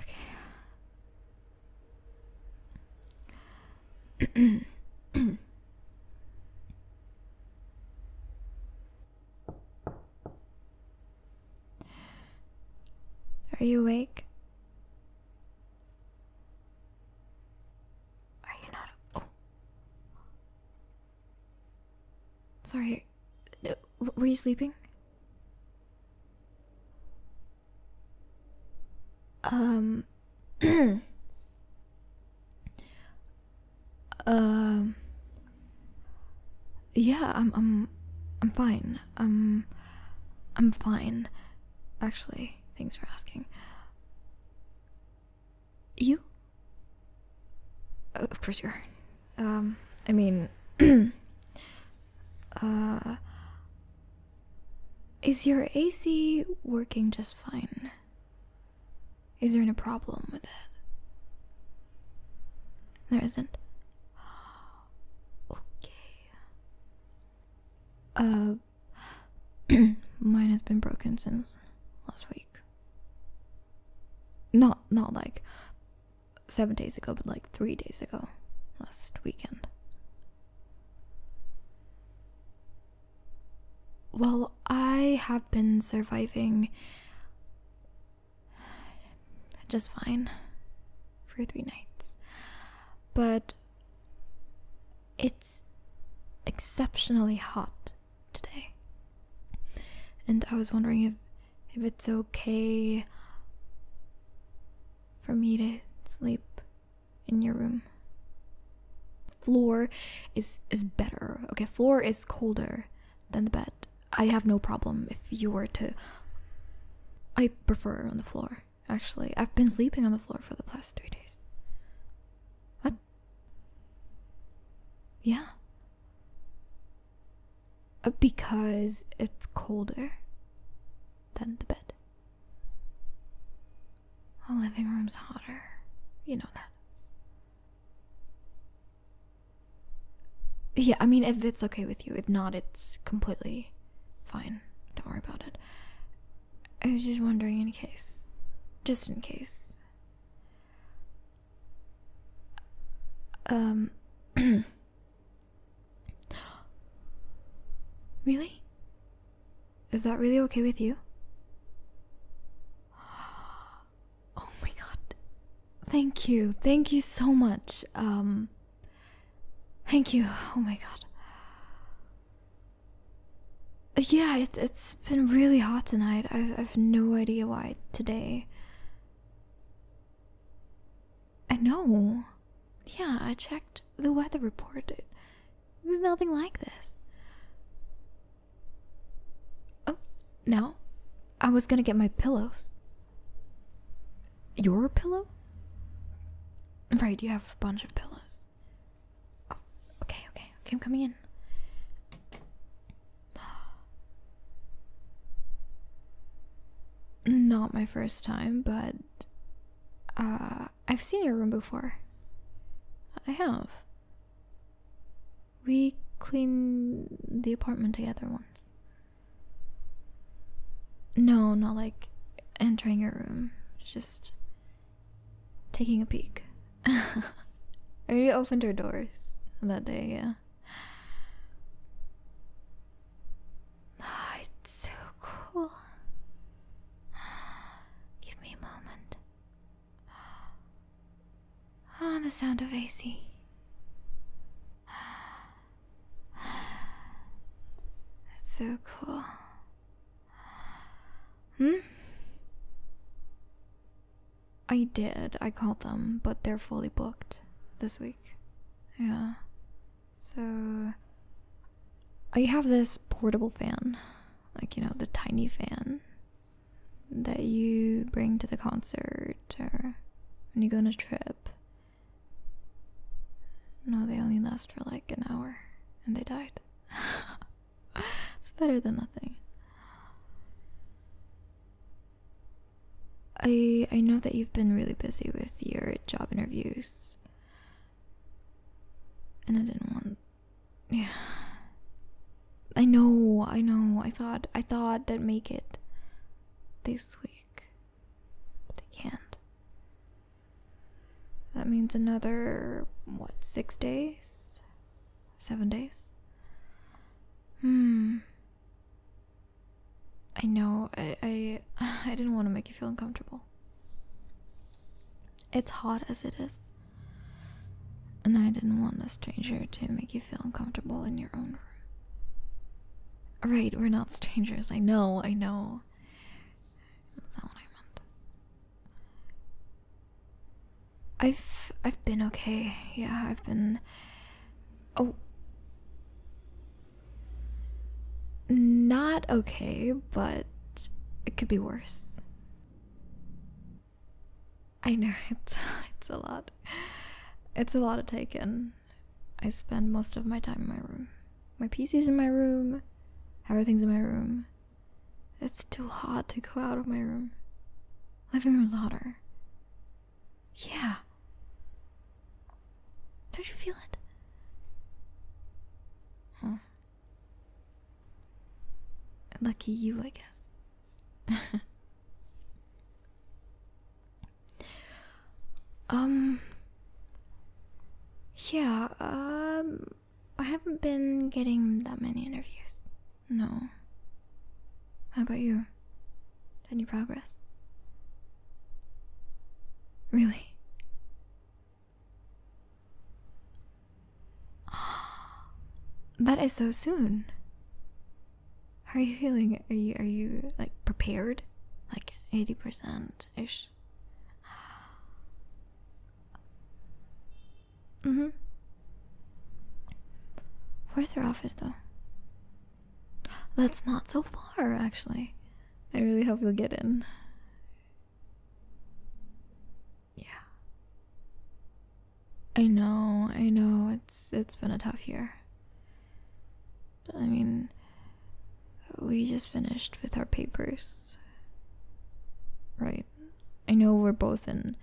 Okay. Are you awake? Are you not? Sorry, uh, were you sleeping? Um. um. yeah, I'm. I'm. I'm fine. Um. I'm fine. Actually, thanks for asking. You? Of course you are. Um, I mean, uh, is your AC working just fine? Is there any problem with it? There isn't. Okay. Uh, mine has been broken since last week. Not, not like seven days ago, but like three days ago, last weekend. Well, I have been surviving just fine for three nights, but it's exceptionally hot today and I was wondering if if it's okay for me to sleep in your room. Floor is is better. Okay, floor is colder than the bed. I have no problem if you were to I prefer on the floor, actually. I've been sleeping on the floor for the past three days. What? Yeah. Uh, because it's colder than the bed. The living room's hotter. You know that. Yeah, I mean, if it's okay with you. If not, it's completely fine. Don't worry about it. I was just wondering in case. Just in case. Um. really? Is that really okay with you? Oh my god. Thank you. Thank you so much. Um. Thank you. Oh my god. Yeah, it's it's been really hot tonight. I've I've no idea why today. I know. Yeah, I checked the weather report. There's nothing like this. Oh, no. I was gonna get my pillows. Your pillow? Right, you have a bunch of pillows. Oh, okay, okay, okay, I'm coming in. Not my first time, but uh, I've seen your room before. I have. We cleaned the apartment together once. No, not like entering your room. It's just taking a peek. I mean, we opened our doors that day, yeah. Oh, it's so cool. Give me a moment. On ah, the sound of AC. That's so cool. Hmm? I did. I called them, but they're fully booked this week. Yeah. So I have this portable fan. Like, you know, the tiny fan that you bring to the concert or when you go on a trip. No, they only last for like an hour and they died. it's better than nothing. I I know that you've been really busy with your job interviews. And I didn't want Yeah. I know, I know. I thought I thought that make it this week. But they can't. That means another what, six days? Seven days? Hmm. I know. I, I, didn't want to make you feel uncomfortable. It's hot as it is. And I didn't want a stranger to make you feel uncomfortable in your own room. Right, we're not strangers. I know, I know. That's not what I meant. I've I've been okay. Yeah, I've been oh not okay, but it could be worse. I know it's it's a lot. It's a lot to take in. I spend most of my time in my room. My PC's in my room. Everything's in my room. It's too hard to go out of my room. Living room's hotter. Yeah. Don't you feel it? Hmm. Lucky you, I guess. um. Yeah, um. I haven't been getting that many interviews. No. How about you? Any progress? Really? that is so soon. are you feeling? Are you are you like prepared? Like 80% ish? Mm-hmm. Where's her office though? That's not so far, actually. I really hope you'll get in. Yeah. I know, I know, it's it's been a tough year. I mean we just finished with our papers. Right. I know we're both in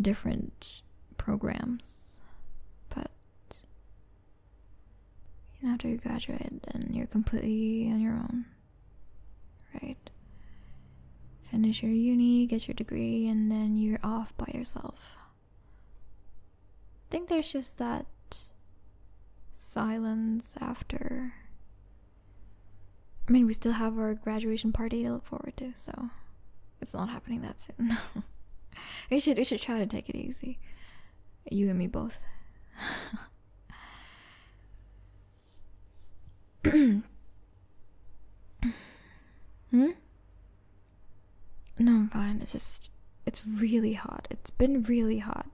different programs, but you know, after you graduate and you're completely on your own, right? Finish your uni, get your degree, and then you're off by yourself. I think there's just that silence after I mean, we still have our graduation party to look forward to, so it's not happening that soon. we should we should try to take it easy. You and me both. hmm? No, I'm fine. It's just it's really hot. It's been really hot.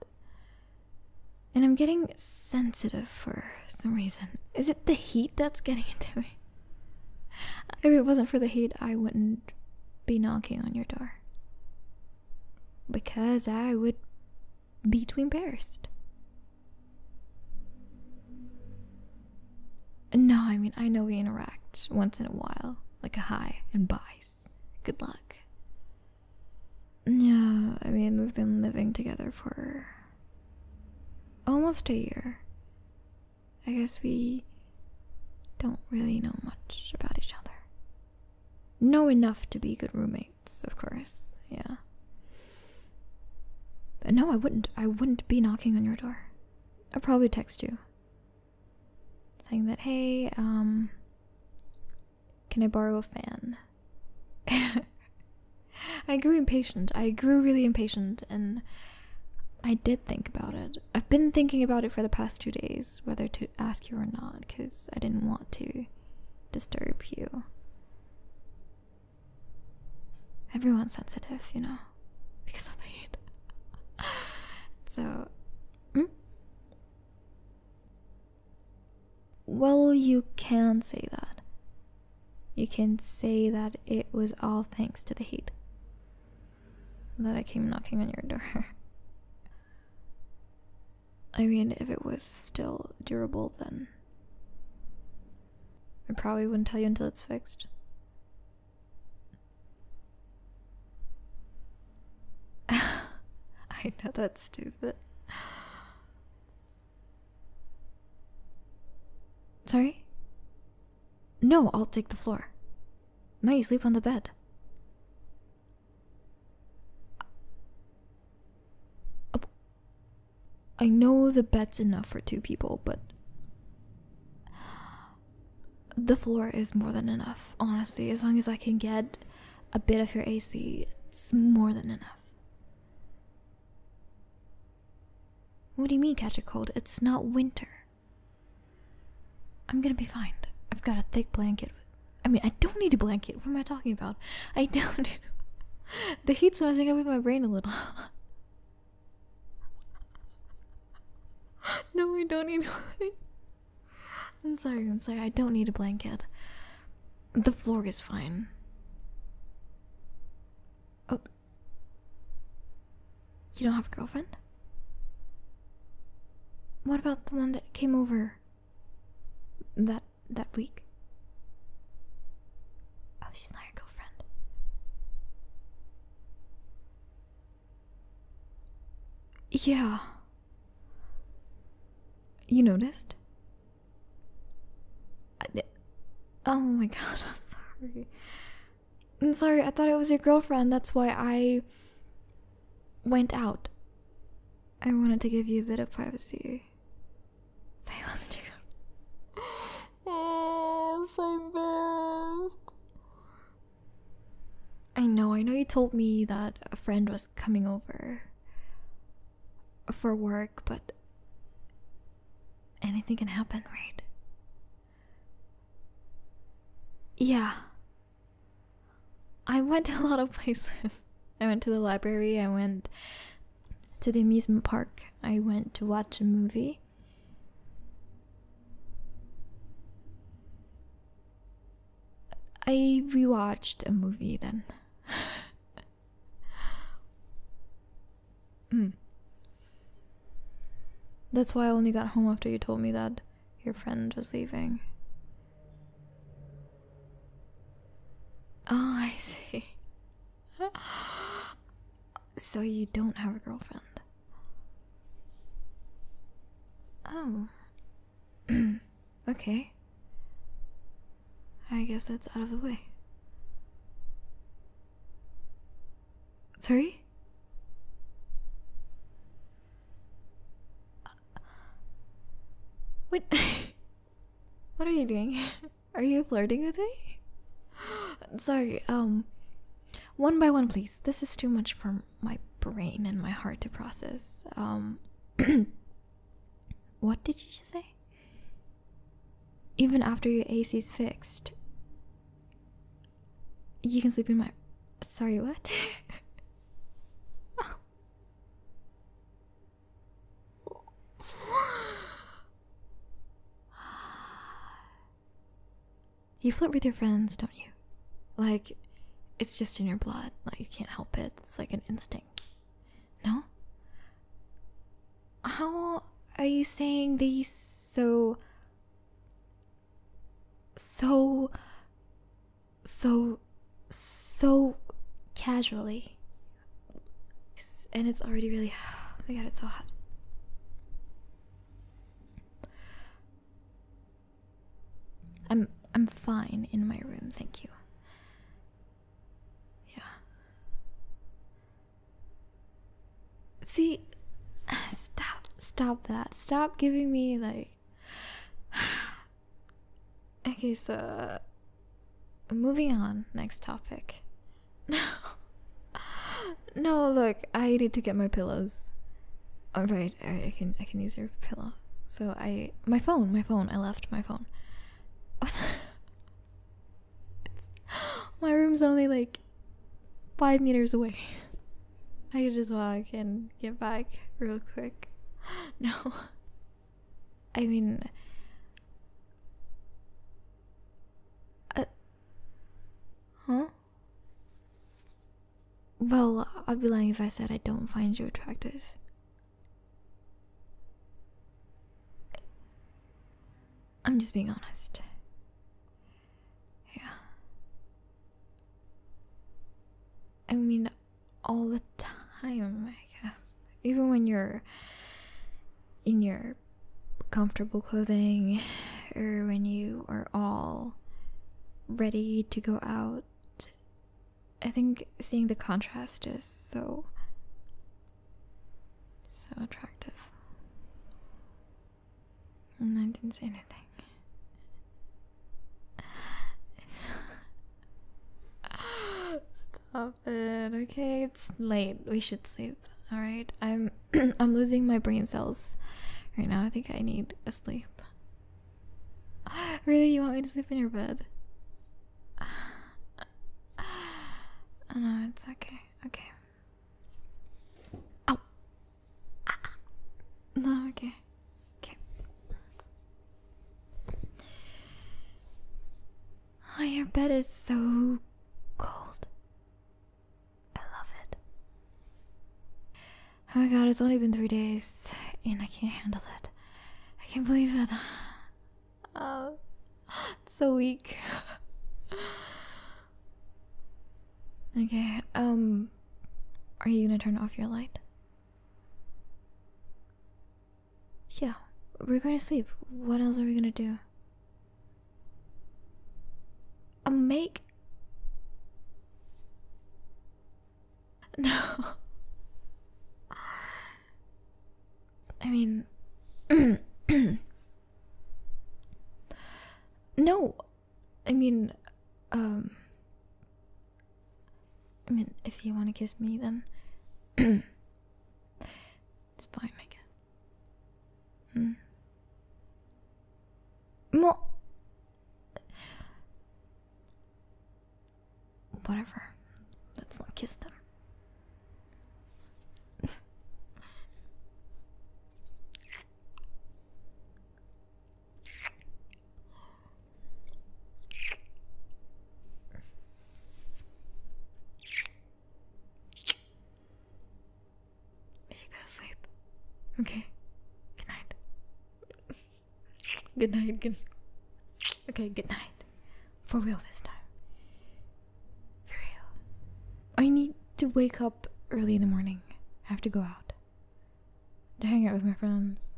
And I'm getting sensitive for some reason. Is it the heat that's getting into me? If it wasn't for the heat, I wouldn't be knocking on your door. Because I would be too embarrassed. No, I mean, I know we interact once in a while, like a hi and buys. Good luck. Yeah, I mean, we've been living together for Almost a year. I guess we don't really know much about each other. Know enough to be good roommates, of course, yeah. Uh, no, I wouldn't. I wouldn't be knocking on your door. I'd probably text you. Saying that, hey, um, can I borrow a fan? I grew impatient. I grew really impatient, and I did think about it. I've been thinking about it for the past two days, whether to ask you or not, because I didn't want to disturb you. Everyone's sensitive, you know, because of the heat. so, hmm? well, you can say that. You can say that it was all thanks to the heat that I came knocking on your door. I mean, if it was still durable, then I probably wouldn't tell you until it's fixed. I know that's stupid. Sorry? No, I'll take the floor. Now you sleep on the bed. I know the bed's enough for two people, but the floor is more than enough. Honestly, as long as I can get a bit of your AC, it's more than enough. What do you mean catch a cold? It's not winter. I'm gonna be fine. I've got a thick blanket. I mean, I don't need a blanket. What am I talking about? I don't. the heat's messing up with my brain a little. no, I don't need one. I'm sorry, I'm sorry. I don't need a blanket. The floor is fine. Oh, you don't have a girlfriend? What about the one that came over that that week? Oh, she's not your girlfriend. Yeah. You noticed? Oh my god, I'm sorry. I'm sorry, I thought it was your girlfriend. That's why I went out. I wanted to give you a bit of privacy. Say last year. Oh, so I know, I know you told me that a friend was coming over for work, but anything can happen, right? Yeah. I went to a lot of places. I went to the library, I went to the amusement park, I went to watch a movie. I rewatched a movie then. Hmm. That's why I only got home after you told me that your friend was leaving. Oh, I see. so you don't have a girlfriend. Oh. okay. I guess that's out of the way. Sorry? what? what are you doing? Are you flirting with me? Sorry, um. One by one, please. This is too much for my brain and my heart to process. Um. what did you say? Even after your AC is fixed, you can sleep in my. Sorry, what? You flirt with your friends, don't you? Like, it's just in your blood. Like, you can't help it. It's like an instinct. No? How are you saying these so. so. so. so casually? And it's already really. Oh my god, it's so hot. I'm I'm fine in my room, thank you. Yeah. See, stop, stop that. Stop giving me, like. okay, so. Moving on, next topic. No. No, look, I need to get my pillows. Alright, oh, alright, I can I can use your pillow. So I my phone, my phone, I left my phone. my room's only like five meters away. I could just walk and get back real quick. No. I mean, uh, huh? Well, I'd be lying if I said I don't find you attractive. I'm just being honest. Yeah. I mean, all the time, I guess. Even when you're in your comfortable clothing or when you are all ready to go out. I think seeing the contrast is so so attractive. And I didn't say anything. Stop it. Okay, it's late. We should sleep. All right. I'm I'm losing my brain cells right now. I think I need a sleep. Really, you want me to sleep in your bed? no, it's okay. Okay. Oh. No, okay. Okay. Oh, your bed is so cold. I love it. Oh my god, it's only been three days and I can't handle it. I can't believe it. Oh, so weak. okay, um, are you gonna turn off your light? Yeah, we're going to sleep. What else are we gonna do? A um, make? No. I mean. no! I mean, um. I mean, if you want to kiss me, then. it's fine, I guess. Hmm. Well. Whatever. Let's not kiss them. Did go to sleep? Okay. Good night. Good night. Good. Okay. Good night. For real this time. For real. I need to wake up early in the morning. I have to go out. To hang out with my friends.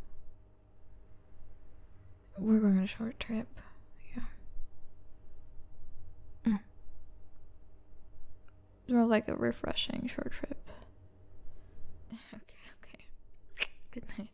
We're going on a short trip. Yeah. Mm. It's more like a refreshing short trip. okay, okay. Good night.